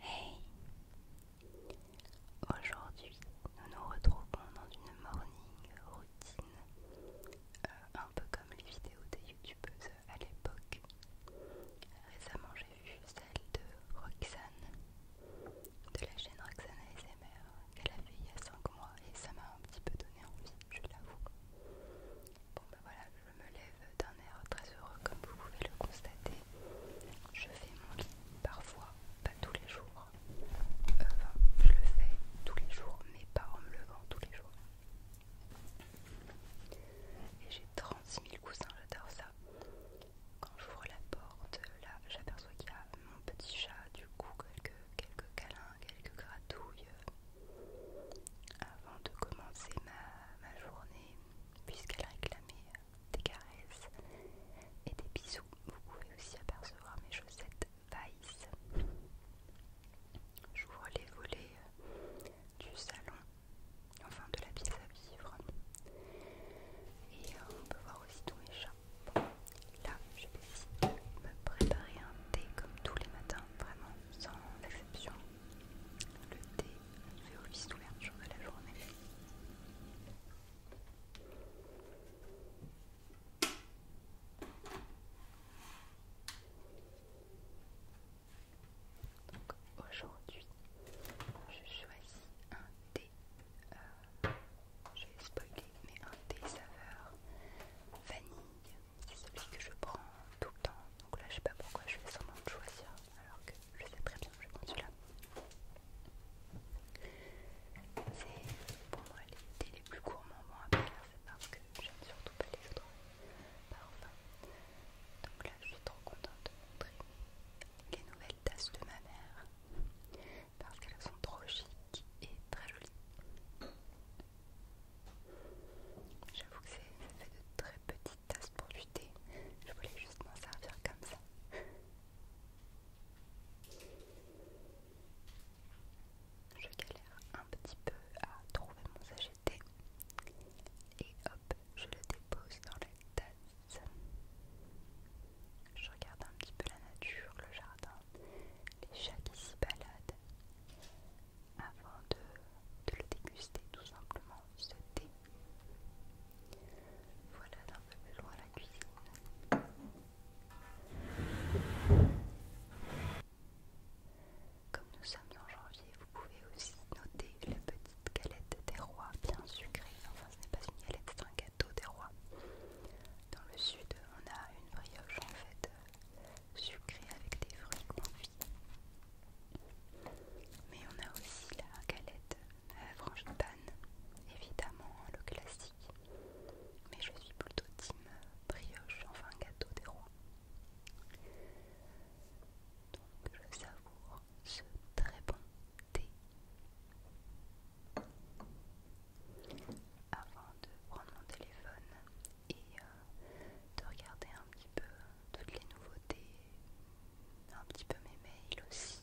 Hey Aujourd'hui, nous nous retrouvons dans une morning routine, euh, un peu comme les vidéos des youtubeuses à l'époque. Récemment, j'ai vu celle de Roxane, de la chaîne Roxane ASMR, qu'elle a fait il y a 5 mois et ça m'a un petit peu donné envie, je l'avoue. Bon, bah voilà, je me lève d'un air très heureux comme vous pouvez le constater. Je fais mon lit parfois, pas tous les jours. je le fais tous les jours, mais pas en me levant tous les jours. Et j'ai 36 000 coussins, j'adore ça. Quand j'ouvre la porte, là, j'aperçois qu'il y a mon petit chat, du coup, quelques, quelques câlins, quelques gratouilles avant de commencer ma, journée, puisqu'elle réclamait des caresses et des bisous. Vous pouvez aussi apercevoir mes chaussettes Vice. J'ouvre les volets euh, du salon, enfin de la pièce à vivre. Et euh, on peut voir aussi tous mes chats. là, je vais me préparer un thé comme tous les matins, vraiment sans exception, le thé fait office d'ouverture de la journée. Donc aujourd'hui, je choisis un thé, euh, je vais spoiler, mais un thé saveur vanille c'est celui que je prends tout le temps. Donc là, je sais pas pourquoi je fais semblant de choisir, alors que je sais très bien que je prends celui-là. C'est pour moi les plus courts moments à faire, c'est parce que j'aime surtout pas les autres enfin Donc là, je suis trop contente de montrer les nouvelles tasses de ma mère parce qu'elles sont trop chic et très jolies. J'avoue que c'est fait de très petites tasses pour du thé. Je voulais juste m'en servir comme ça. Je galère un petit peu à trouver mon sachet de thé. Et hop, je le dépose dans la tasse. Je regarde un petit peu la nature, le jardin, les chats qui s'y baladent avant de, le déguster tout simplement, ce thé. Voilà d'un peu plus loin la cuisine. Comme nous sommes en janvier, vous pouvez aussi noter la petite galette des rois bien sucrée. Enfin, ce n'est pas une galette, c'est un gâteau des rois. Dans le sud, on a une brioche en fait sucré avec des fruits confits. Mais on a aussi la galette à euh, frangipane, évidemment le classique. Mais je suis plutôt team euh, brioche, enfin gâteau des rois. Donc je savoure ce très bon thé. Avant de prendre mon téléphone et euh, de regarder un petit peu toutes les nouveautés, un petit peu mes mails aussi,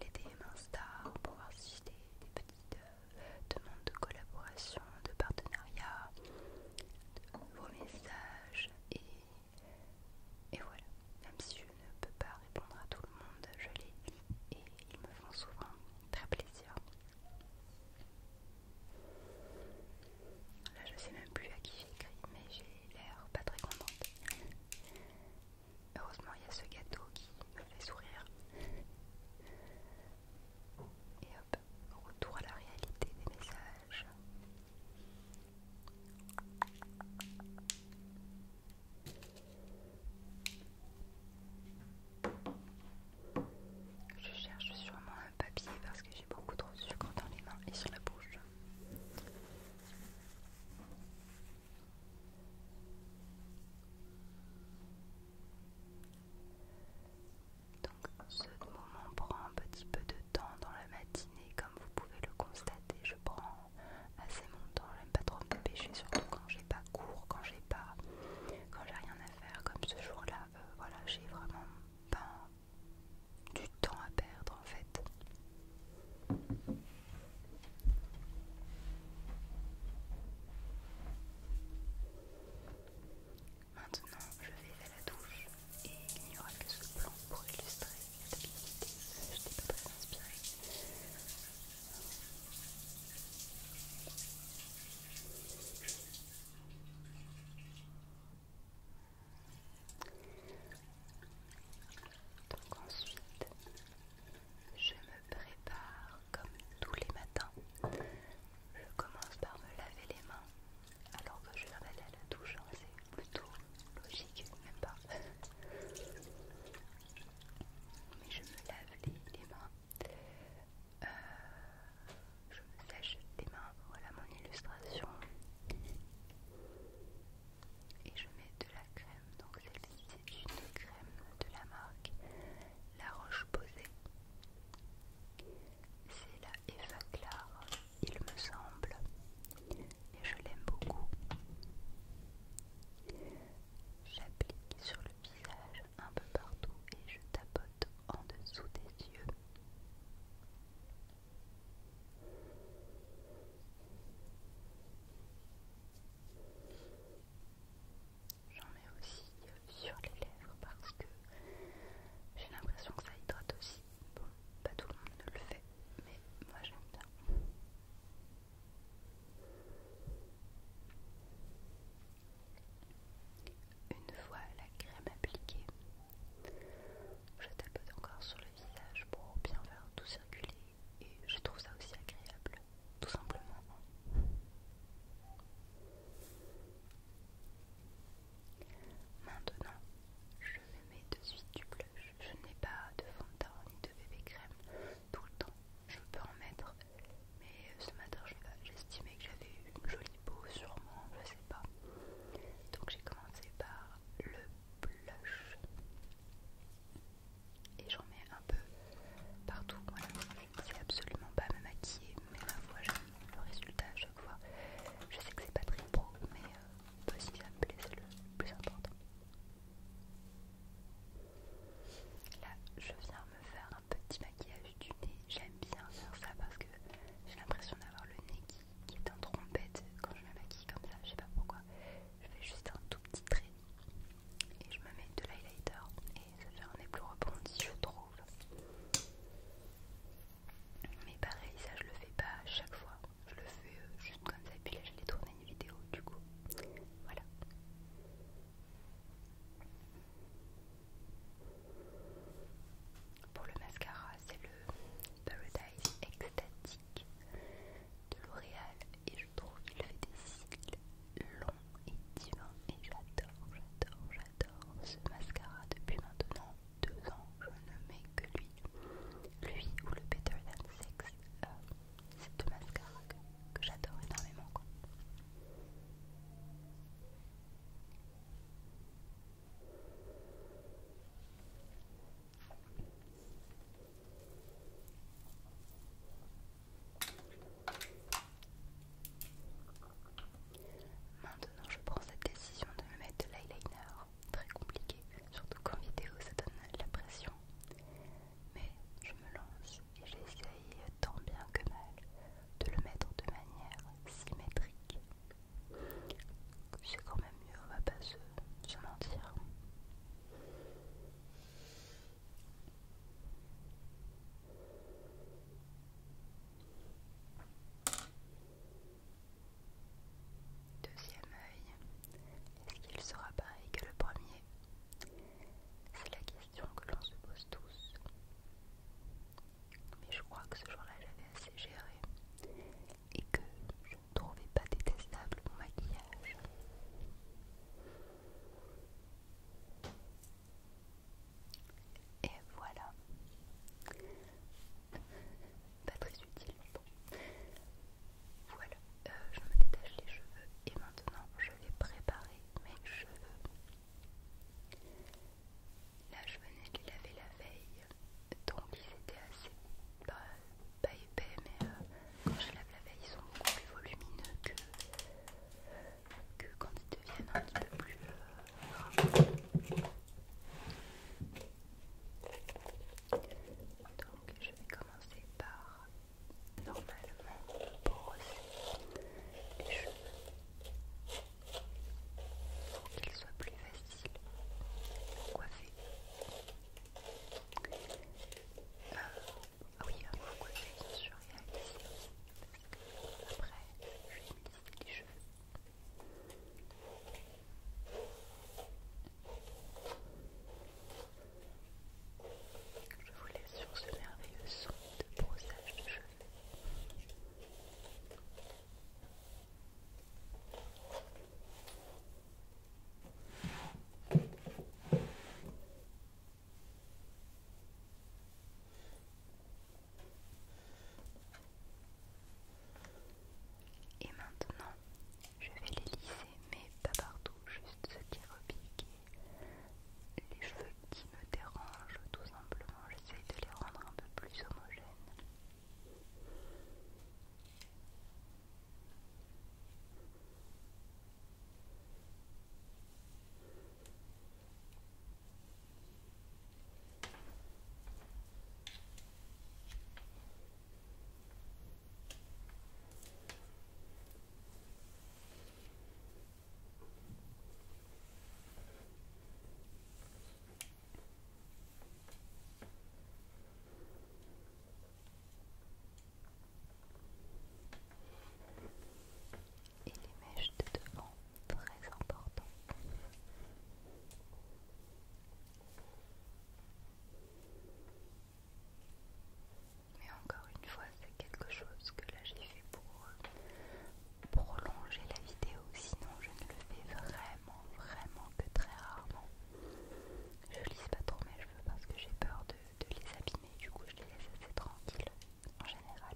les DM Insta pour voir si j'ai des, petites euh, demandes de collaboration, de partenariat, de nouveaux messages et, et voilà. Même si je ne peux pas répondre à tout le monde, je les lis et ils me font souvent très plaisir. Là, je sais même plus à qui j'écris, mais j'ai l'air pas très contente. Heureusement, il y a ce gâteau qui me fait sourire. Et hop, retour à la réalité des messages. Je cherche sûrement un papier parce que j'ai beaucoup trop de sucre dans les mains et sur la bouche. Donc ce moment prend un petit peu de temps dans la matinée, comme vous pouvez le constater. Je prends assez mon temps. J'aime pas trop me dépêcher, surtout quand j'ai pas cours, quand j'ai pas, quand j'ai rien comme ce jour-là. Euh, voilà, j'ai vraiment pas du temps à perdre en fait. Maintenant, je vais à la douche et il n'y aura que ce plan pour illustrer la stabilité. Je n'étais pas très inspirée. Donc ensuite, je me prépare comme tous les matins. Je commence par me laver les mains alors que je vais aller à la douche, hein, c'est plutôt logique, même pas. Mais je me lave les mains euh, je me sèche les mains, voilà mon illustration. Et je mets de la crème, donc c'est une crème de la marque La Roche Posay. C'est la Eva Clar, il me semble, et je l'aime beaucoup. J'applique sur le un peu partout et je tapote en dessous des yeux. J'en mets aussi sur les lèvres parce que j'ai l'impression que ça hydrate aussi. Bon, pas tout le monde ne le fait, mais moi j'aime bien. Une fois la crème appliquée, je tapote encore sur le visage pour bien faire tout circuler et je trouve ça aussi agréable, tout simplement. Maintenant, je me mets de suite du blush. Je n'ai pas de fond ni de bébé crème tout le temps. Je peux en mettre mais euh, ce matin j'estimais que j'avais une jolie peau sûrement, je sais pas. Donc j'ai commencé par le blush et j'en mets un peu partout. je ne absolument pas me maquiller, mais la j'aime le résultat à chaque fois. Je sais que c'est pas très pro, mais euh, ça me c'est le plus important. Là, je viens me faire un petit maquillage du nez. J'aime bien faire ça parce que j'ai l'impression d'avoir le nez qui, est en trompette quand je me maquille comme ça. Je sais pas pourquoi. Je fais juste un tout petit trait et je me mets de l'highlighter et ça fait un nez plus rebondi, je trouve. Mais pareil, ça je le fais pas à chaque fois. Je le fais euh, juste comme ça et puis là j'allais tourner une vidéo du coup. Voilà. Pour le mascara, c'est le Paradise Ecstatic de L'Oréal et je trouve qu'il fait des cils longs et divins et j'adore, j'adore, j'adore ce mascara depuis maintenant deux ans. Je ne mets que lui, lui ou le Better Than Sex. Euh, c'est de mascara que, j'adore énormément quoi. Maintenant je prends cette décision de me mettre de l'eyeliner, très compliqué, surtout qu'en vidéo ça donne la pression mais je me lance et j'essaye tant bien que mal de le mettre de manière symétrique. C'est quand même mieux, on va pas se, se mentir. Deuxième œil, est-ce qu'il sera pareil que le premier c'est la question que l'on se pose tous. Mais je crois que ce jour-là, j'avais assez géré et que je ne trouvais pas détestable mon maquillage. Et voilà. Pas très utile. Bon. Voilà, euh, je me détache les cheveux et maintenant je vais préparer mes cheveux. Là, je venais de les laver la veille, donc ils étaient assez pas, épais, mais euh, quand je lave la veille, ils sont beaucoup plus volumineux que, quand ils deviennent un petit peu plus euh, donc je vais commencer par normalement pour brosser les cheveux pour qu'ils soient plus faciles pour coiffer. Euh, ah oui, avant de coiffer, bien sûr, il y a les cils, parce après, je vais lisser les cheveux. Je vous laisse sur ce merveilleux son de brossage de cheveux. Et maintenant, je vais les lisser, mais pas partout, juste ce qui est et les cheveux qui me dérangent, tout simplement. J'essaie de les rendre un peu plus homogènes. Et les mèches de devant, très important mais encore une fois, c'est quelque chose que là j'ai fait pour euh, prolonger la vidéo, sinon je ne le fais vraiment, vraiment que très rarement. Je lisse pas trop mes cheveux parce que j'ai peur de, de les abîmer, du coup je les laisse assez tranquilles en général.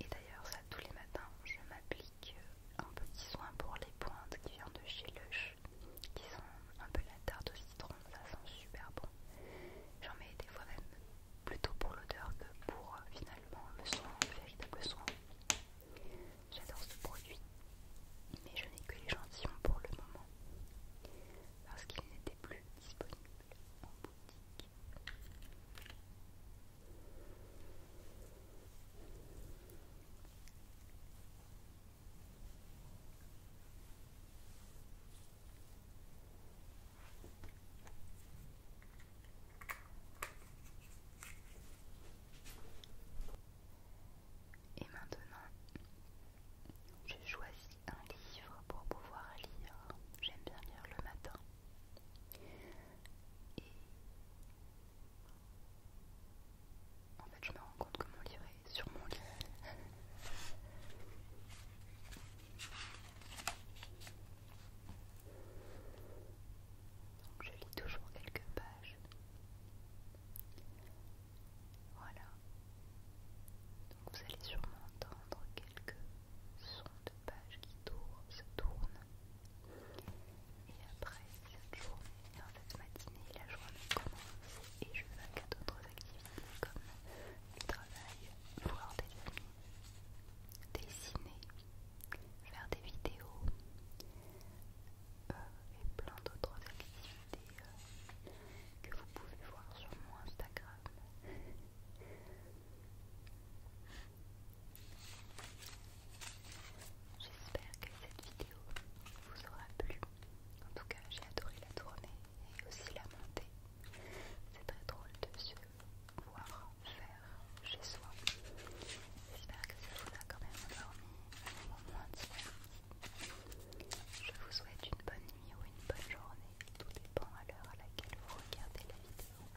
Et d'ailleurs, ça tous les matins, je m'applique euh, un petit soin pour les pointes qui vient de chez Lush, qui sont un peu la tarte au citron, ça sent super bon. J'en mets des fois même plutôt pour l'odeur que pour euh, finalement le soin, le véritable soin. J'adore ce produit, mais je n'ai que l'échantillon pour le moment, parce qu'il n'était plus disponible en boutique. Et maintenant, je choisis un livre pour pouvoir lire. J'aime bien lire le matin. En fait, je me rends compte que mon livret est sur mon lit. Donc je lis toujours quelques pages. Voilà. Donc vous allez sûrement entendre quelques sons de pages qui se tournent. Et après cette journée, dans cette matinée, la journée commence et je vais à d'autres activités comme le travail, voir des amis, dessiner, faire des vidéos euh, et plein d'autres activités euh, que vous pouvez voir sur mon Instagram. J'espère que cette vidéo vous aura plu. En tout cas, j'ai adoré la tournée et aussi la montée. C'est très drôle de se voir faire chez soi. J'espère que ça vous a quand même endormi un moment d'hiver. Je vous souhaite une bonne nuit ou une bonne journée. Tout dépend à l'heure à laquelle vous regardez la vidéo.